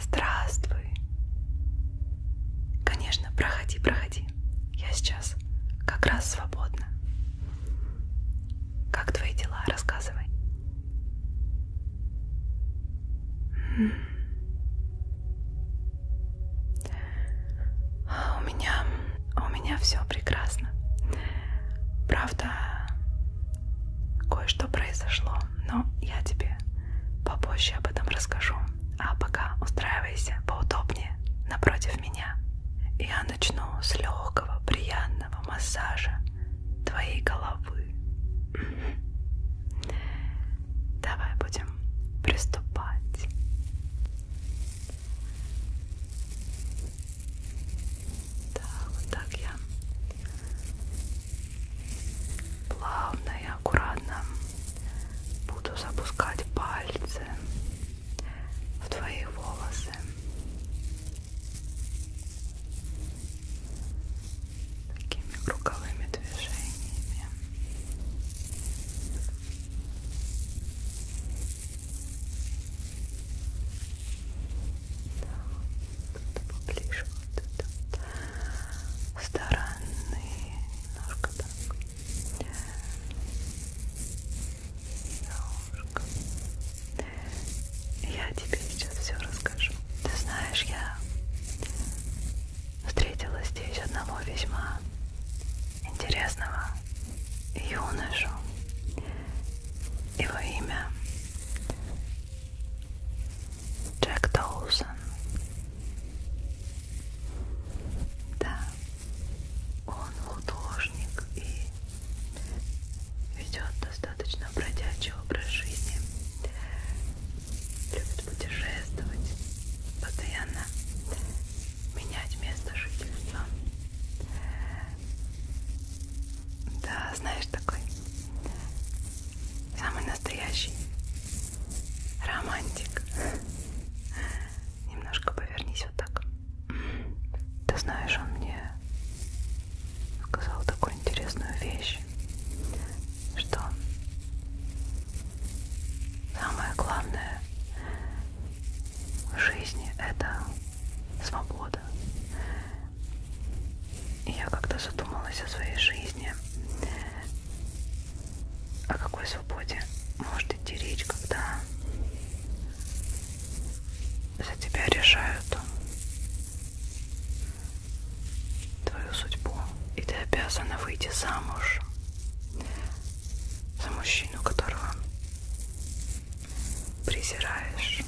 Здравствуй. Конечно, проходи, проходи. Я сейчас как раз свободна. Как твои дела? Рассказывай у меня у меня все прекрасно. Правда, кое-что произошло, но я тебе попозже об этом расскажу. А пока устраивайся поудобнее напротив меня. Я начну с легкого, приятного массажа твоей головы. Давай будем приступать. Да, вот так я плавно и аккуратно буду запускать пальцы в твои волосы. Такими круговыми движениями. Да, тут поближе, вот тут. Стороны. Ножка так. Ножка. Я тебе сейчас все расскажу. Ты знаешь, я встретила здесь одного весьма интересного юношу. Его имя Джек Доусон. Да, он художник и ведет достаточно бродячий образ жизни. Любит путешествовать постоянно менять место жительства. Да, знаешь, такой самый настоящий романтик. Немножко повернись вот так. Ты знаешь, он мне сказал такую интересную вещь, что самое главное жизни это свобода. И я когда задумалась о своей жизни, о какой свободе может идти речь, когда за тебя решают твою судьбу, и ты обязана выйти замуж за мужчину, которого презираешь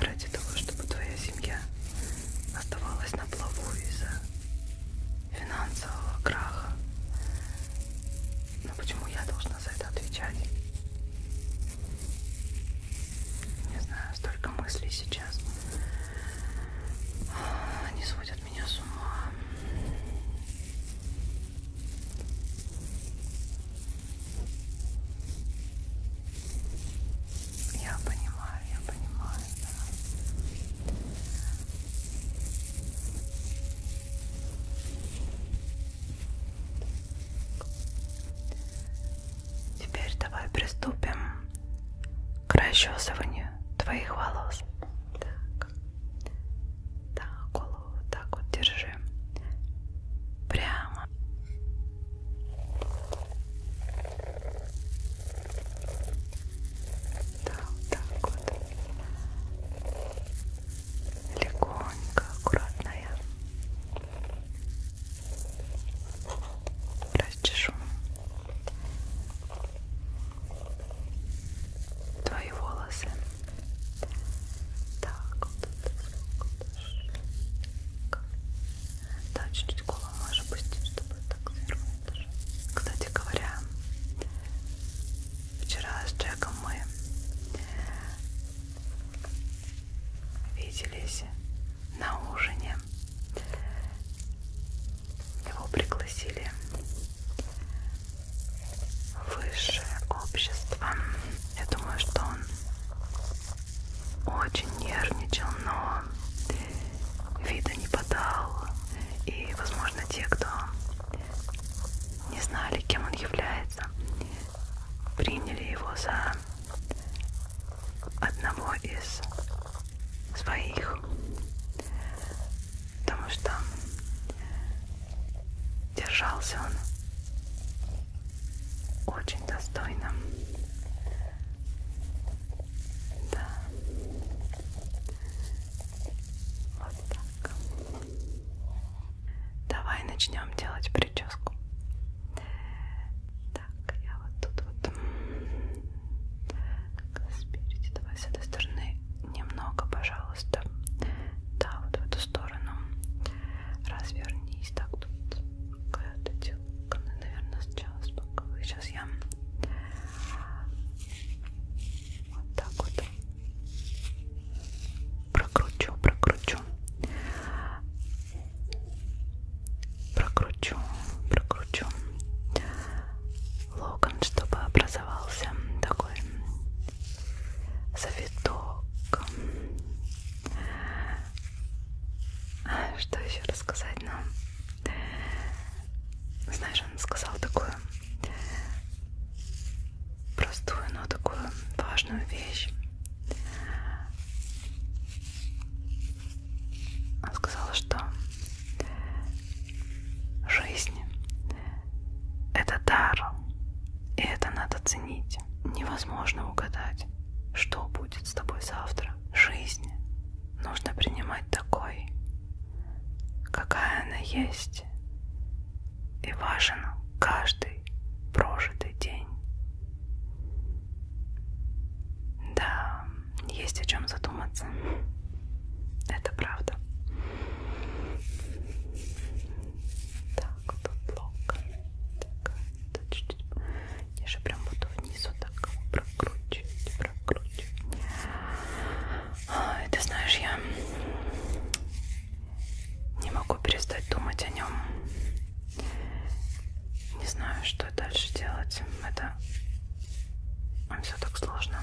ради того, чтобы твоя семья оставалась на плаву из-за финансового краха. Но почему я должна за это отвечать? Не знаю, столько мыслей сейчас. Они сводят сводит меня с ума. Я понимаю, я понимаю, да. Теперь давай приступим к расчесыванию твоих волос. Так. Так, голову так вот держи. Прямо. Так, так вот. Легонько, аккуратно я расчешу твои волосы. Так, вот это Да, чуть-чуть голову можешь пустить, чтобы так свернуть. Кстати говоря, вчера с Джеком мы виделись на ужине его пригласили в высшее общество. Я думаю, что он очень нервничал, но вида не подал. И, возможно, те, кто не знали, кем он является, приняли его за одного из своих потому что держался он очень достойно. Да. Вот так. Давай начнем делать прическу. Так, я вот тут вот. Спереди, давай с этой стороны немного, пожалуйста. Да, вот в эту сторону. Развернись так тут. Наверное, сначала спокойно. Сейчас я вот так вот прокручу, прокручу. Прокручу, прокручу локон, чтобы образовался такой завиток. Что еще рассказать нам? Ну, знаешь, он сказал такую простую, но такую важную вещь. Он сказал, что Жизнь — это дар, и это надо ценить. Невозможно угадать, что будет с тобой завтра. Жизнь нужно принимать такой, какая она есть, и важен каждый прожитый день. Да, есть о чем задуматься. Это правда. Так, тут лок. Так, тут чуть-чуть. Я же прям буду вниз вот так прокручивать, прокручивать. А, ты знаешь, я не могу перестать думать о нем. Не знаю, что дальше делать. Это все так сложно.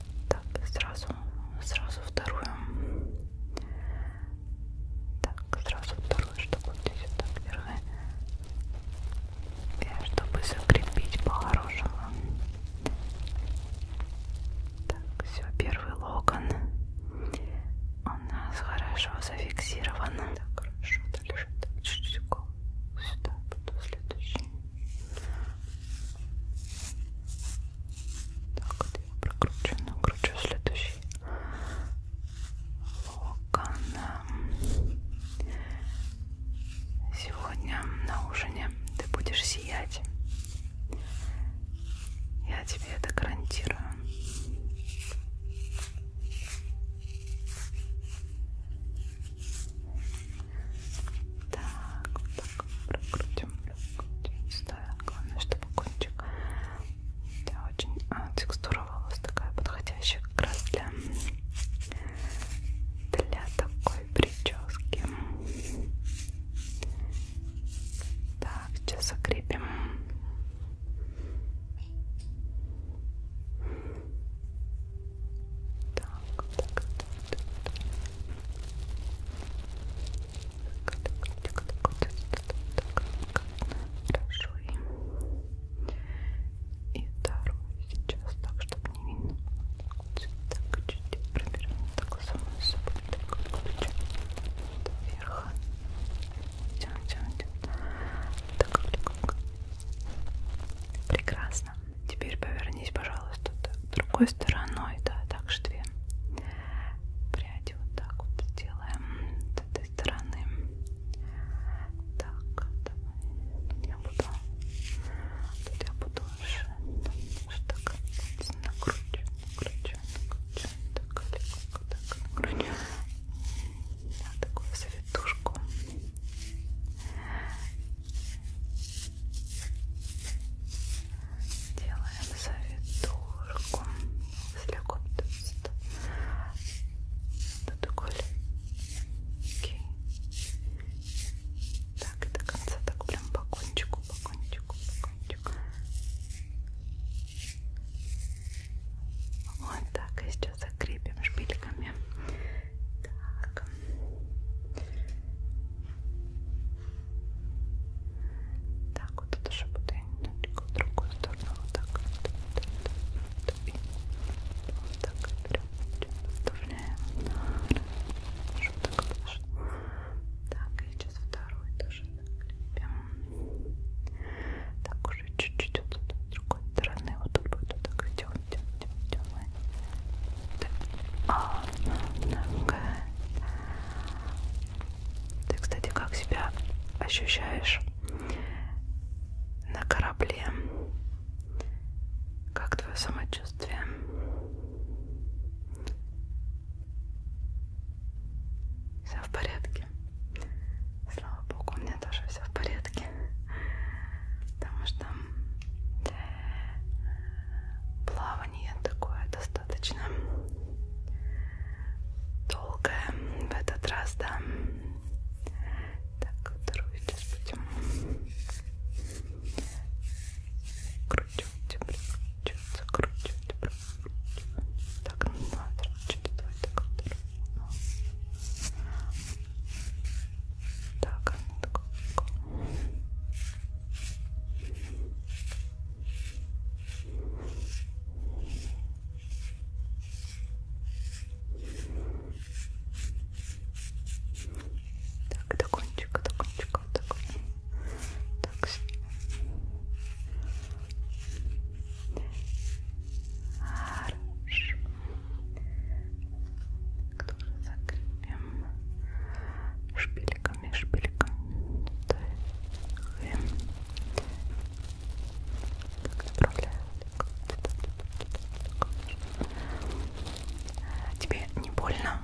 Так, сразу, сразу вторую. Так, сразу вторую, чтобы вот здесь вот так держать. И чтобы закрепить по-хорошему. Так, все, первый локон. У нас хорошо зафиксирован. Так, хорошо, дальше. Так, чуть-чуть сюда, потом следующий. Так, вот я прокручу, накручу следующий локон. Сегодня на ужине ты будешь сиять. Я тебе это гарантирую. Так, вот так прокрутим, прокрутим сюда. Главное, чтобы кончик да, очень а, текстура волос такая подходящая как раз для, для такой прически. Так, сейчас закрепим. Так, так, так, так, так, так, так, хорошо. И вторую сейчас так, чтобы не видно. Так, чуть-чуть проберем так самую собой, так, ключ вверх. Тянем, тянем, тянем. Так, легонько. Прекрасно прекрасно. Теперь повернись, пожалуйста, другой стороной, да, так же две пряди вот так вот сделаем с этой стороны. Так, давай. я буду, тут я буду уже, так, накручу, накручу, накручу, так, легко, так, накручу, на такую советушку. Делаем завитушку слегка просто до голеньки. Так, и до конца так прям по кончику, по кончику, по кончику. Вот так, и сейчас закрепим шпильками так. Так, вот это же буду в другую сторону. Вот так вот. Вот так вот прям поставляем. Хорошо, так положим. Так, и сейчас второй тоже наклепим. Так, уже чуть-чуть вот с другой стороны. Вот так вот так идем, идем, идем, идем. Ты, а, кстати, как себя ощущаешь на корабле? Как твое самочувствие? Все в порядке. Слава богу, у меня тоже все в порядке. Потому что э, плавать плавание такое достаточно долгое в этот раз, да. Так, вторую сейчас будем крутить, прикручиваться, крутить, прикручивать. Так, ну, давай, давай, давай, так, вторую. Так, так, до кончика, до кончика, вот так. Так. Хорошо тоже закрепим шпильками, шпильками. Тебе не больно?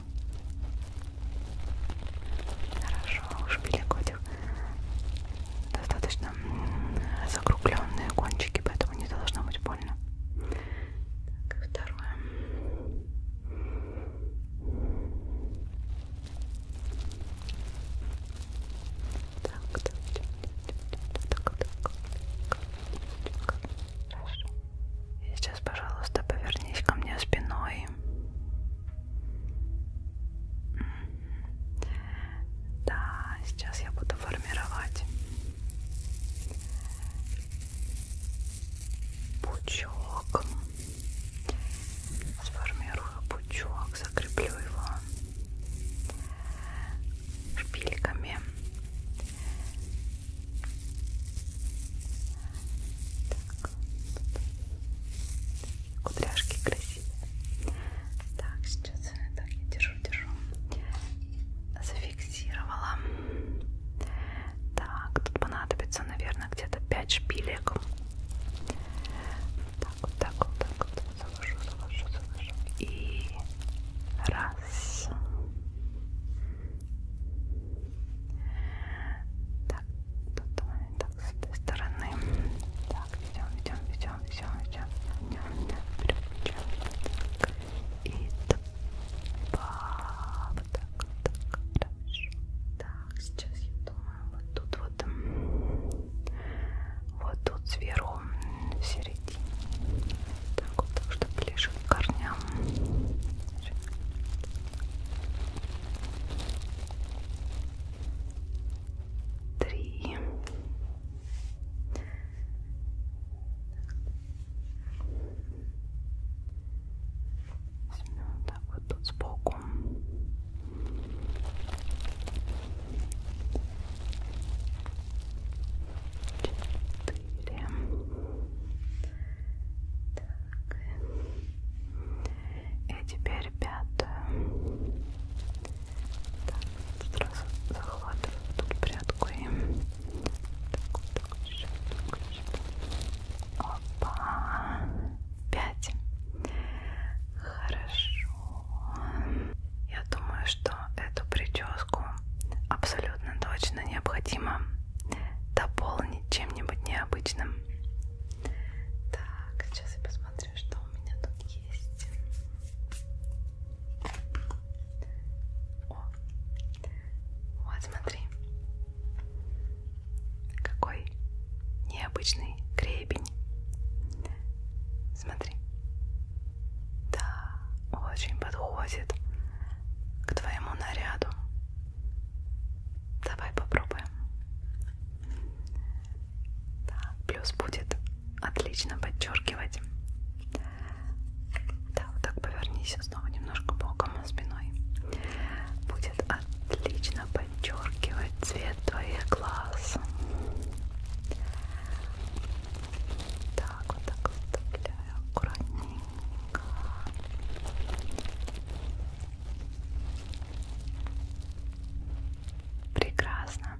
Хорошо, шпилек этих достаточно закругленные кончики, поэтому не должно быть больно. Так, второе. Так, так, так, так. Хорошо. И сейчас, пожалуйста, повернись ко мне спиной. Да, сейчас я буду формировать пучок. Сформирую пучок, закреплю его шпильками. Так. Кудряшки красивые. Так, сейчас так я держу, держу. Зафиксировала. Так, тут понадобится, наверное, где-то 5 шпилек. Так вот, так вот, так вот. Завожу, завожу, завожу. И раз. Так, тут мы так с этой стороны. Так, идем, идем, идем, идем, идем. Переключаем. И два. Вот так, вот так, вот так. Хорошо. Так, сейчас я думаю, вот тут вот, вот тут сверху, в середине. Так вот, так, чтобы ближе к корням. Три. Возьмем вот так вот тут сбоку. Четыре. Так. И теперь пятую. Так, сразу захватываю тут прядку и так вот, так вот, еще, так вот, еще. Опа. Пять. Хорошо. Я думаю, что эту прическу абсолютно точно необходимо дополнить чем-нибудь необычным. Так, сейчас я посмотрю, что у меня тут есть. О, вот, смотри. Какой необычный гребень. Смотри. Да, очень подходит к твоему наряду. Давай попробуем. Да, плюс будет отлично подчеркивать. Да, да, вот так повернись снова немножко боком а спиной. Будет отлично подчеркивать цвет твоих глаз. Так, вот так вставляю аккуратненько. Прекрасно.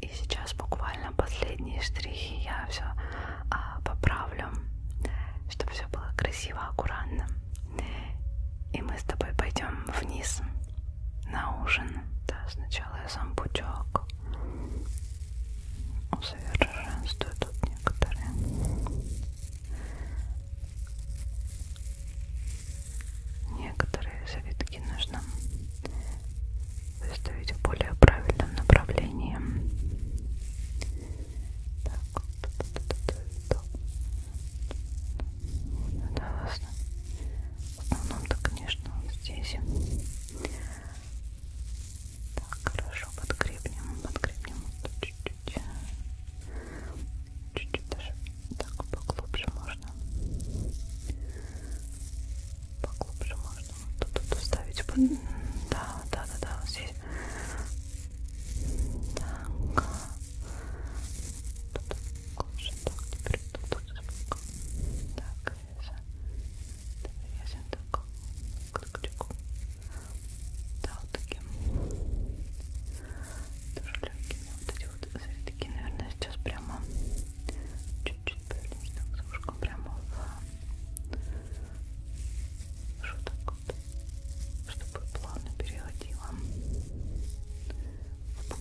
И сейчас буквально последние штрихи я все а, поправлю, чтобы все было красиво, аккуратно. И мы с тобой пойдем вниз на ужин. Да, сначала я сам пучок усовершенствую тут некоторые. Некоторые завитки нужно выставить в более правильном направлении. Так. Да, ладно. В основном-то, конечно, вот здесь. Так, хорошо, подкрепнем, подкрепнем вот чуть-чуть. Чуть-чуть даже так поглубже можно. Поглубже можно вот тут, тут вставить. Да, да, да, да, вот здесь. Так. Кожа, так, теперь тут, тут, тут. Так, вязан. Вязан так. Крик-крику. Да, вот таким. Тоже легкими. Вот эти вот завитки, наверное, сейчас прямо чуть-чуть повернемся так с ушком прямо в шуток чтобы плавно переходила в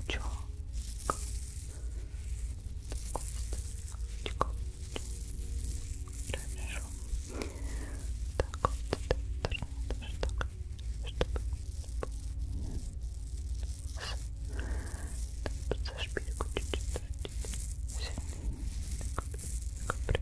пучок. Такой Хорошо. Так вот, так, так, чтобы так, за шпильку чуть-чуть сильнее, так, так,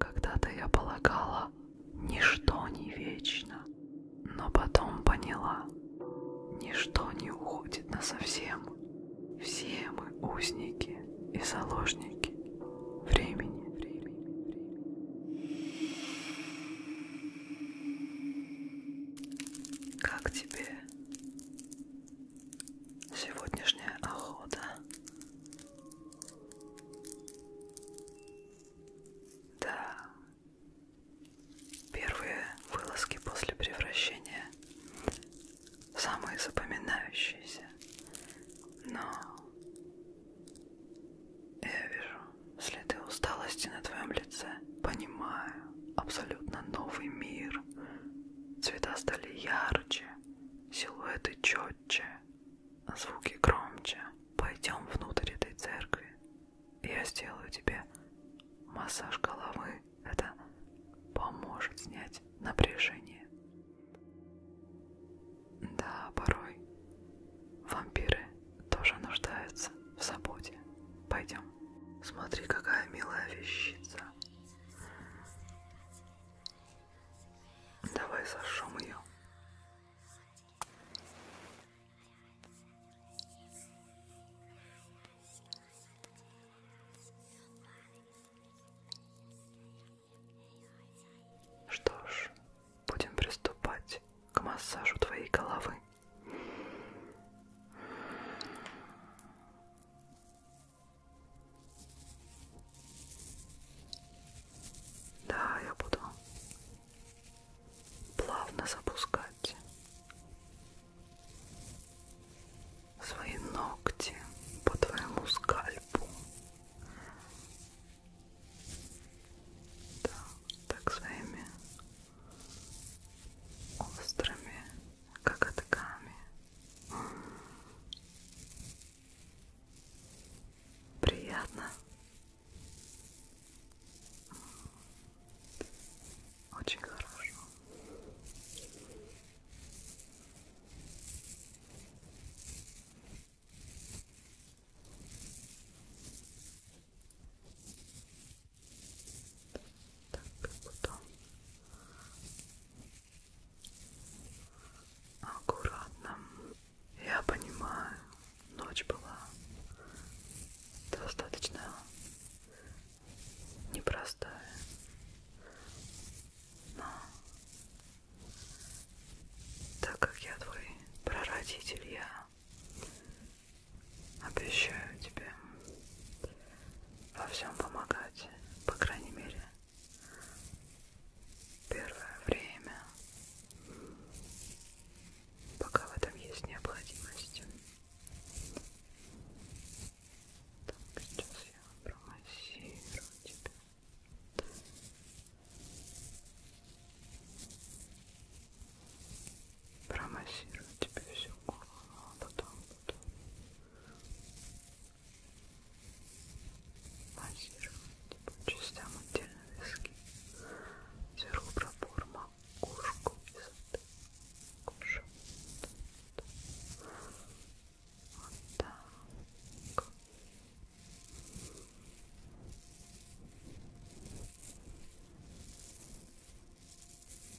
Когда-то я полагала, ничто не вечно, но потом поняла, ничто не уходит на совсем. Все мы узники и заложники времени. Как тебе? сегодняшняя охота. Да, первые вылазки после превращения самые запоминающиеся, но я вижу следы усталости на твоем лице, понимаю абсолютно новый мир, Цвета стали ярче, силуэты четче, а звуки громче. Пойдем внутрь этой церкви. Я сделаю тебе массаж головы. Это поможет снять напряжение. Да, порой вампиры тоже нуждаются в заботе. Пойдем. Смотри, какая милая вещица. Давай зажжем ее. Что ж, будем приступать к массажу твоей головы. Да, я буду плавно запускать свои ногти по твоему скальпу. Да, так своими острыми коготками. Приятно. Очень хорошо. Так, потом аккуратно. Я понимаю, ночь была достаточно непростая, но так как я твой прародитель, я обещаю тебе во всем помогать, по крайней мере, первое время, пока в этом есть необходимость. Так, сейчас я промассирую тебя. Промассирую тебе всю голову, а потом буду массировать по частям отдельно виски, сверху пробор макушку и кожу. Вот так.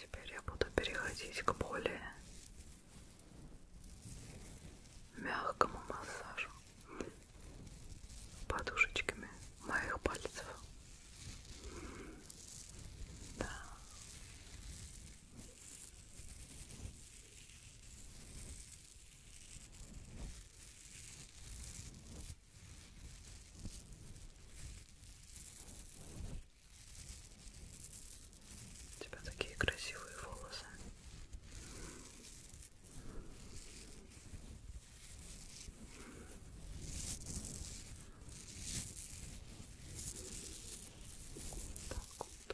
Теперь я буду переходить к более мягкому массажу подушечками моих пальцев. Да. У тебя такие красивые волосы. Так вот.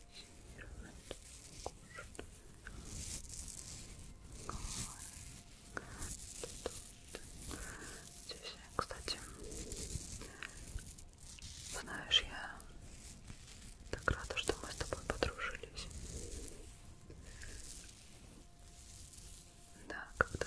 массирует кожу. Здесь, кстати, знаешь, я так рада, что мы с тобой подружились. Да, когда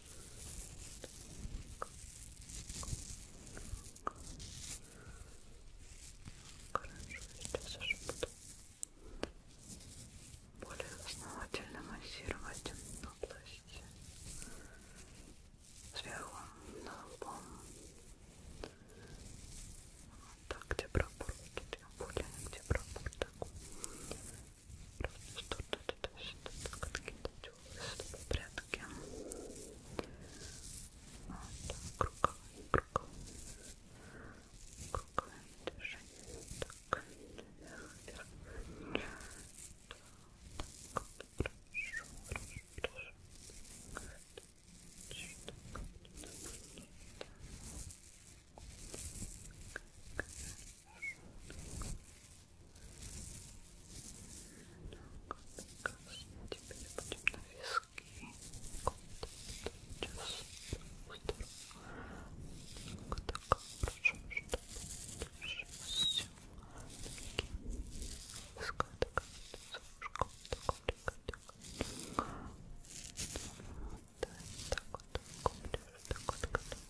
Хорошо, сейчас уже буду более основательно массировать область сверху на лбом. Вот так, где пробор, тут я более, где пробор, так что-то что-то что-то какие-то что-то прятки круговые круговые круговые движения так вверх вверх так хорошо хорошо что-то так, теперь будем на виски. Сейчас вот так хорошо, чтобы дальше все. Виска такая, сушка, такая, такая. Вот так вот, так вот, так вот, так вот, так вот.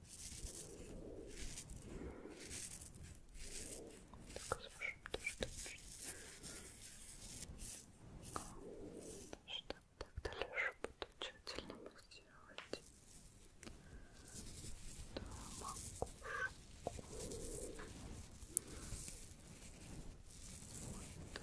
Так, слушаем тоже точно. Что так дальше буду тщательно массировать. Да, макушку. Вот так, вот так. Так.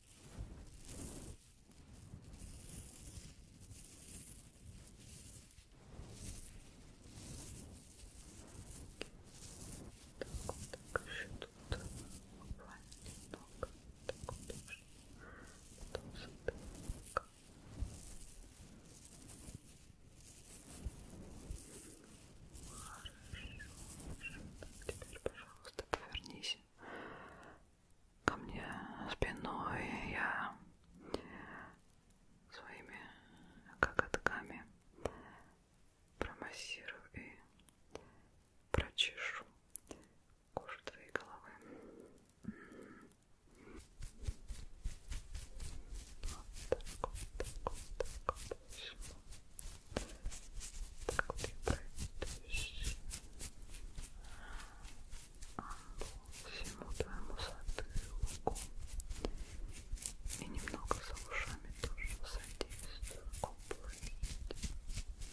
Так вот, так еще тут буквально немного. Так вот тоже. Потом сюда. Хорошо. Теперь, пожалуйста, повернись ко мне спиной, я своими коготками промассирую и прочешу кожу твоей головы. Вот так вот, так вот, так вот. Так вот я пройдусь а по всему твоему затылку и немного за ушами тоже содействую облыть,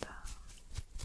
да. М -м -м.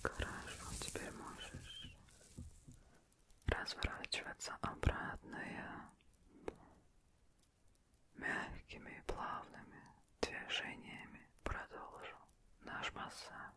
Хорошо, теперь можешь разворачиваться обратно и мягкими и плавными движениями продолжу наш массаж.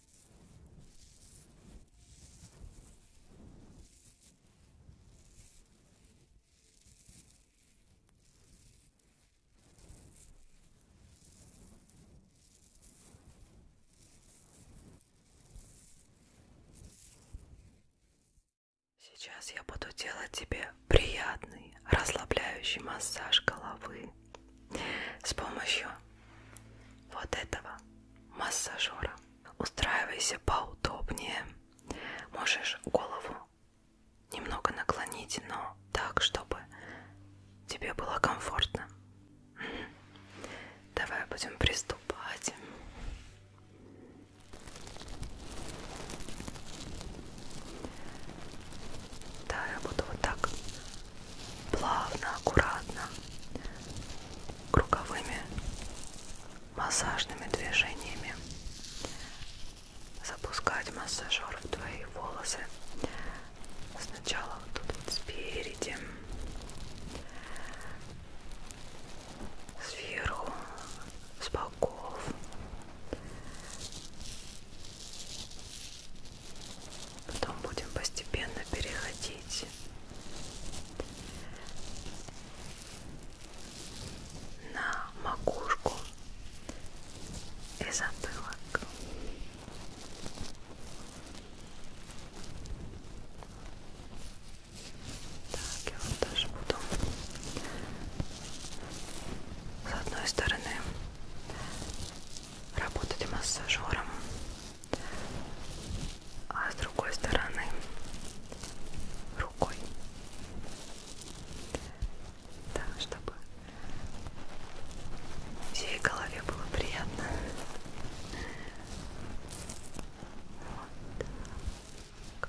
Сейчас я буду делать тебе приятный расслабляющий массаж головы. С помощью вот этого массажера устраивайся поудобнее. Можешь голову немного наклонить, но так, чтобы тебе было комфортно. Давай будем приступать. Да, я буду вот так плавно, аккуратно, круговыми массажными движениями запускать массажер в твои волосы. Сначала вот тут вот спереди, сверху, с боков. Потом будем постепенно переходить на макушку и затылок. Так, я вот даже буду с одной стороны работать массажером, а с другой стороны рукой, так, чтобы всей голове было приятно. Вот так.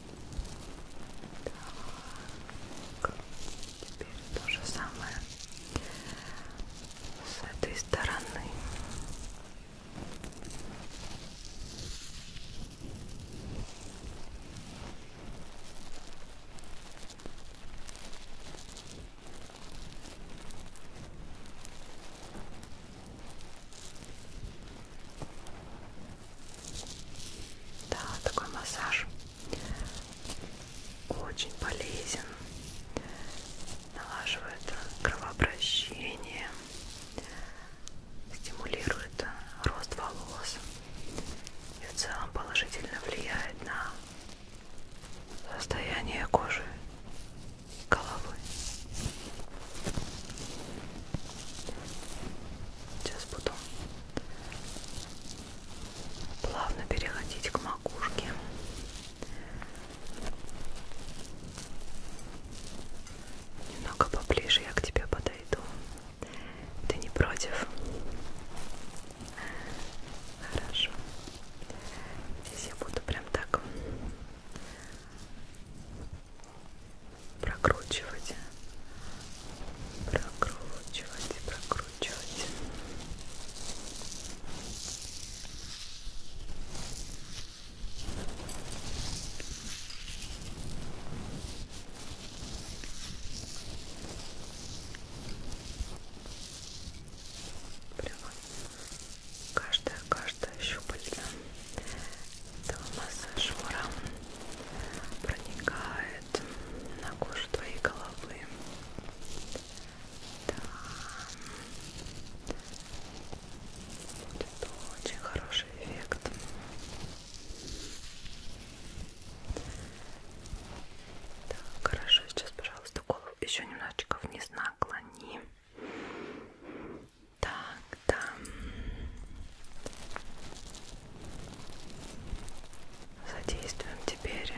Так, теперь то же самое с этой стороны. Да, такой массаж очень полезен, налаживает кровообращение, стимулирует рост волос и в целом положительно влияет на состояние кожи головы. Сейчас буду плавно переходить к макушке. Немного поближе я к тебе подойду. Ты не против? Хорошо. Здесь я буду прям так прокручивать прокручивать, прокручивать. Прямо каждая, каждая щупальца этого массажера проникает свет на кожу твоей головы. Да. Будет очень хороший эффект. Так, хорошо, сейчас, пожалуйста, голову еще немножечко вниз наклони. Так, да задействуем теперь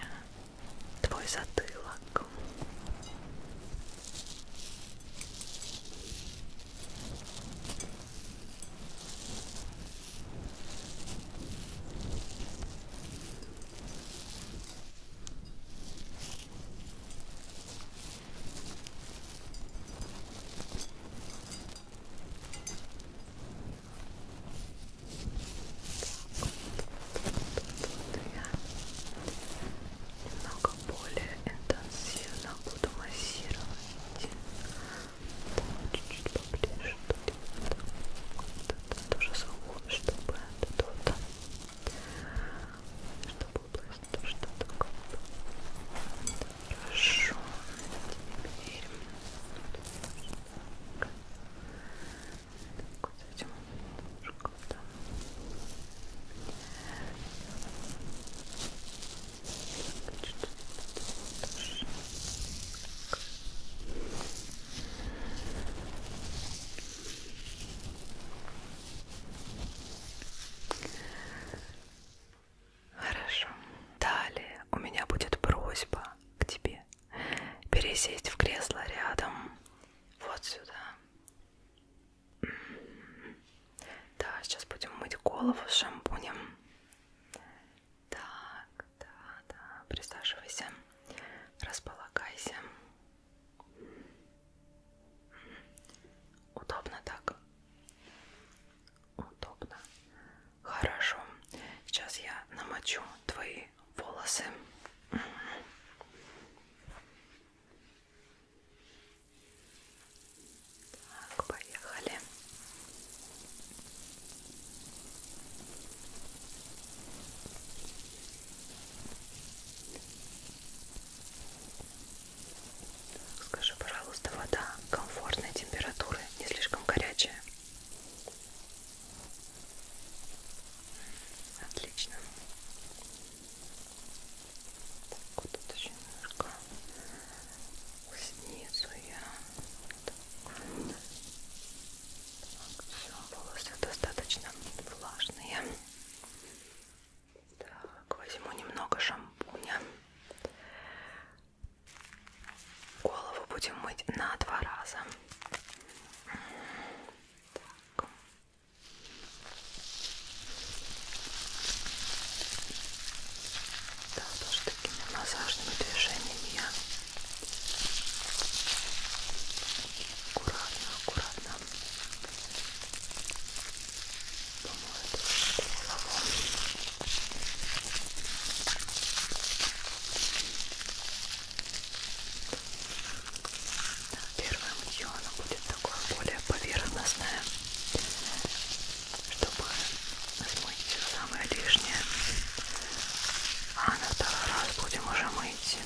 твой затылок немного более интенсивно буду массировать чуть-чуть поближе тоже звук, чтобы тут чтобы область тоже такое хорошо теперь так. Так, вот этим немножко там. Так, чуть -чуть подальше. Так. Хорошо. Далее у меня будет просьба к тебе, пересесть в кресло рядом, вот сюда. М-м-м. Да, сейчас будем мыть голову с шампунем. Так, да, да, присаживайся, располагайся. М-м. Удобно так удобно. Хорошо. Сейчас я намочу твои волосы. Так, поехали. Так, скажи, пожалуйста, вода комфортной температуры, не слишком горячая. Отлично. Так, вот тут еще немножко снизу я. Так, так все, волосы достаточно влажные. Так, возьму немного шампуня. Голову будем мыть на два раза. Так. Да, тоже такими массажными движениями я аккуратно, аккуратно помою голову. Да, первое мытье оно будет такое более поверхностное, чтобы смыть все самое лишнее. А на второй раз будем уже мыть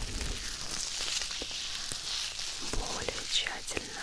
более тщательно.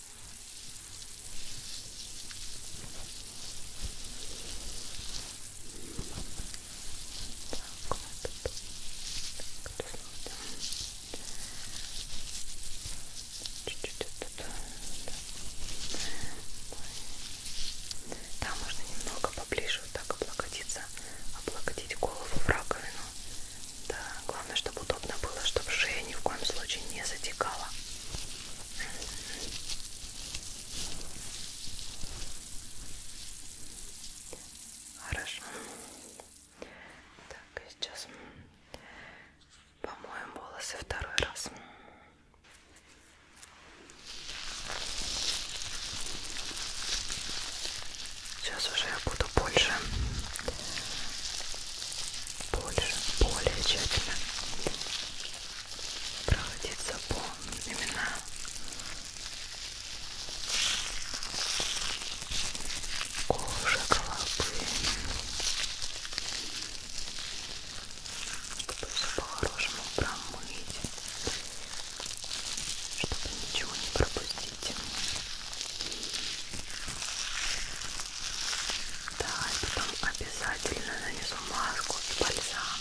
вот чуть-чуть вот да. да, можно немного поближе вот так облокотиться облокотить голову в раковину да, главное, чтобы удобно было, чтобы шея ни в коем случае не затекала Хорошо. Так, и сейчас помоем волосы второй раз. Сейчас уже я буду больше, больше, более тщательно проходиться по именам. Кожа головы. Чтобы все по-хорошему промыть. Чтобы ничего не пропустить. Да, и потом обязательно нанесу маску и бальзам,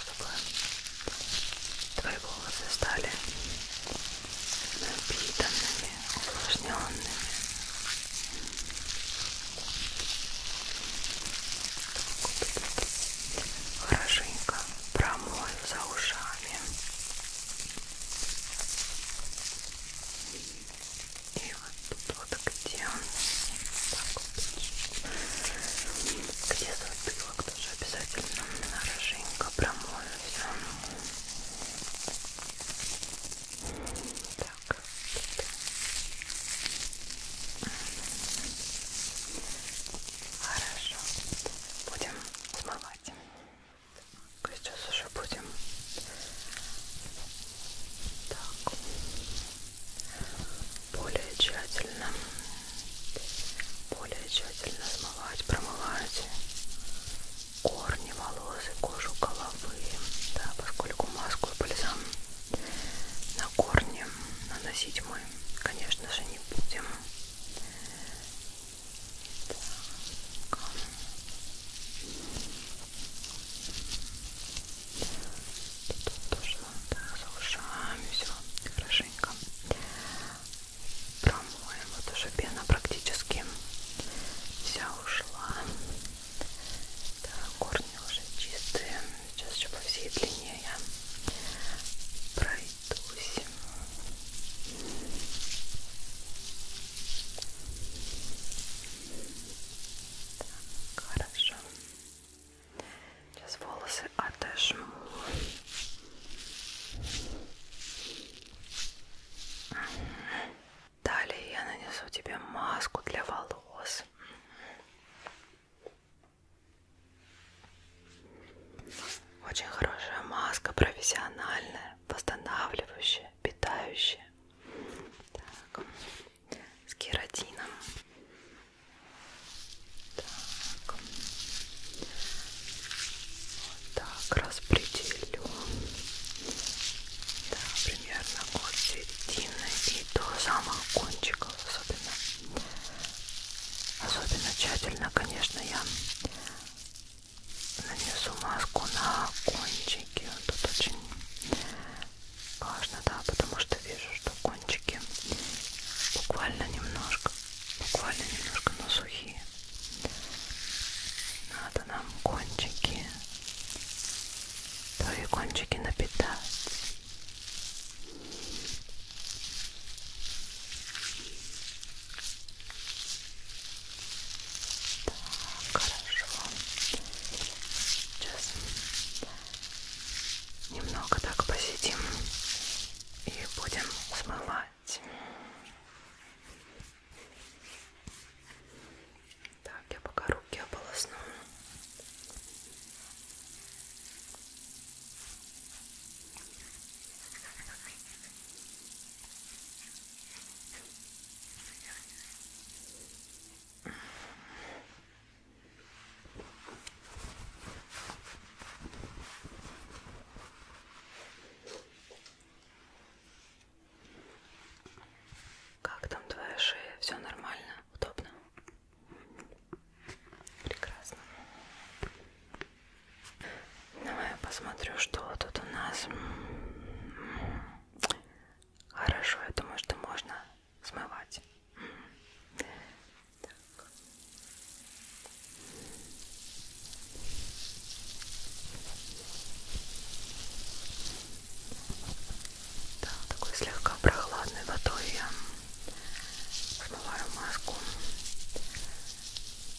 чтобы твои волосы стали напитанными, увлажненными. Хорошенько промою за ушами. И вот тут вот где он, вот. где затылок тоже обязательно хорошенько промою все. Так. Хорошо. Будем смывать. Сейчас уже будем. Так. Более тщательно. Более тщательно смывать, промывать корни, волосы, кожу головы. Да, поскольку маску и бальзам на корни наносить мы, конечно же, не будем. Так. Тут тоже да, заушаем все хорошенько. Промоем. Вот уже пена практически вся ушла. Да, корни уже чистые. Сейчас еще по всей длине я пройдусь. Так, хорошо. Сейчас волосы отожму. Далее я нанесу тебе маску для волос. Очень хорошая маска, профессиональная, восстанавливающая, питающая. Так с кератином. Так. Вот так распределю. Да, примерно от середины и до самых кончиков особенно. Особенно тщательно, конечно, я нанесу маску на кончики. Вот тут очень Важно, да, потому что вижу, что кончики буквально немножко, буквально немножко, но сухие. Надо нам кончики, твои кончики напитать. Так, хорошо. Сейчас немного так посидим и будем смывать. Так, я пока руки ополосну. Как там твоя шея? Все нормально? Удобно? Прекрасно. Давай я посмотрю, что тут у нас. Хорошо, я думаю, что можно смывать. Так. Да, такой слегка прохладной водой я смываю маску,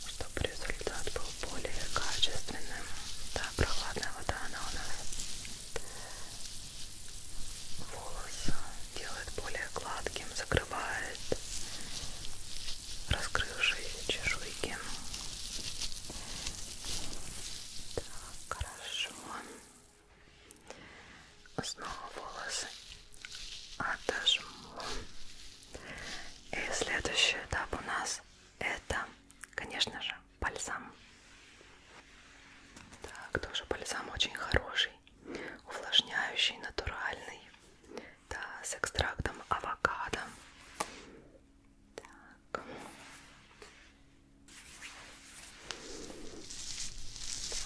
чтобы результат был более качественным. Да, прохладная вода, она у нас волос делает более гладким, закрывает раскрывшиеся чешуйки. Так, хорошо. Снова волосы отожму. И следующий этап у нас это, конечно же, бальзам. Так, тоже бальзам очень хороший, увлажняющий, натуральный. Да, с экстрактом авокадо. Так.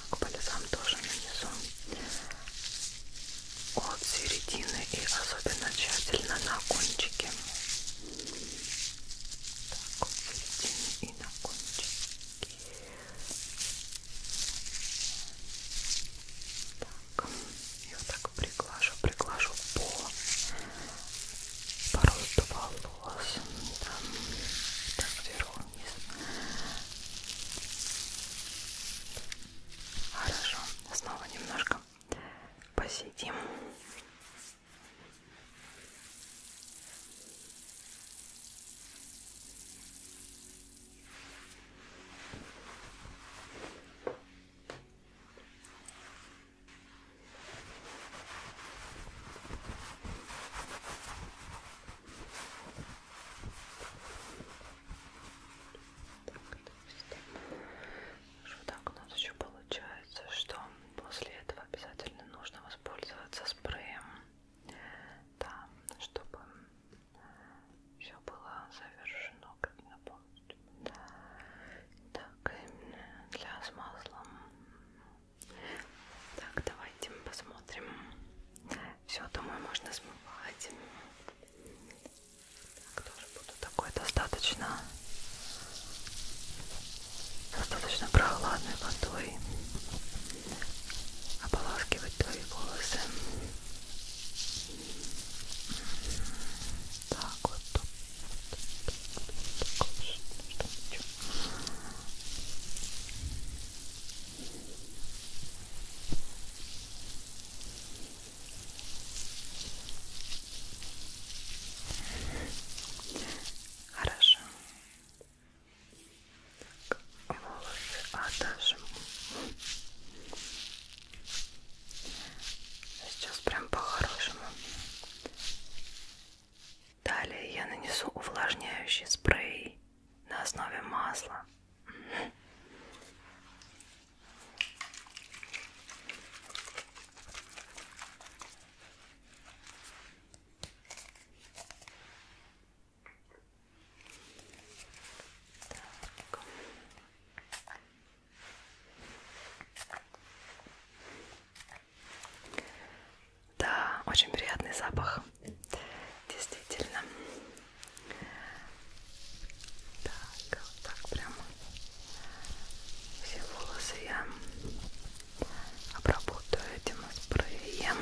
так, бальзам тоже нанесу от середины и особенно тщательно на кончике так, середину и на кончике так, я вот так приглажу, приглажу по, по росту волос там, так, сверху вниз хорошо, снова немножко посидим так, вот так у нас еще получается, что после этого этого обязательно нужно воспользоваться спреем, да, чтобы все было завершено как полностью. Так, для с маслом. Так, давайте посмотрим. Все, думаю, можно смывать. Так, тоже буду такой достаточно достаточно прохладной водой ополаскивать твои волосы. Так вот. Хорошо. Так, волосы отожму. А сейчас прям по-хорошему. Далее я нанесу увлажняющий спрей на основе масла. Так. Да, очень приятный запах, действительно. Так, вот так прямо все волосы я обработаю этим спреем.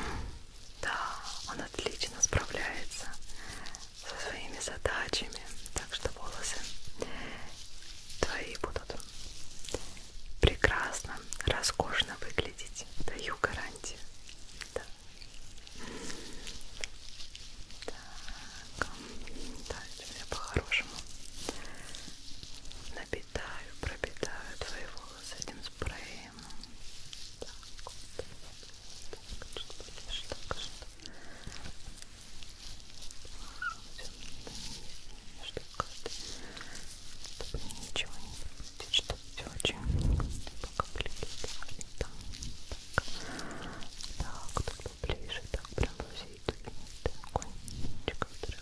Да, он отлично справляется со своими задачами, так что волосы твои будут прекрасно, роскошно выглядеть. Даю гарантию. Да. Так, да, это у меня по-хорошему напитаю, пропитаю твои волосы этим спреем. Так, вот, так, что будешь, так, что... Все, чтобы ничего не будет, чтобы все очень покоплили. Так, так, так, поближе, так, прям во всей кончиков,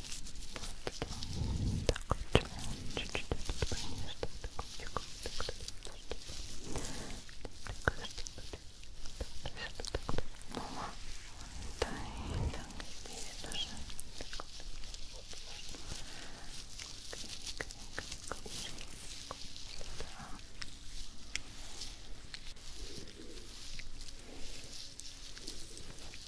Так, чуть-чуть так,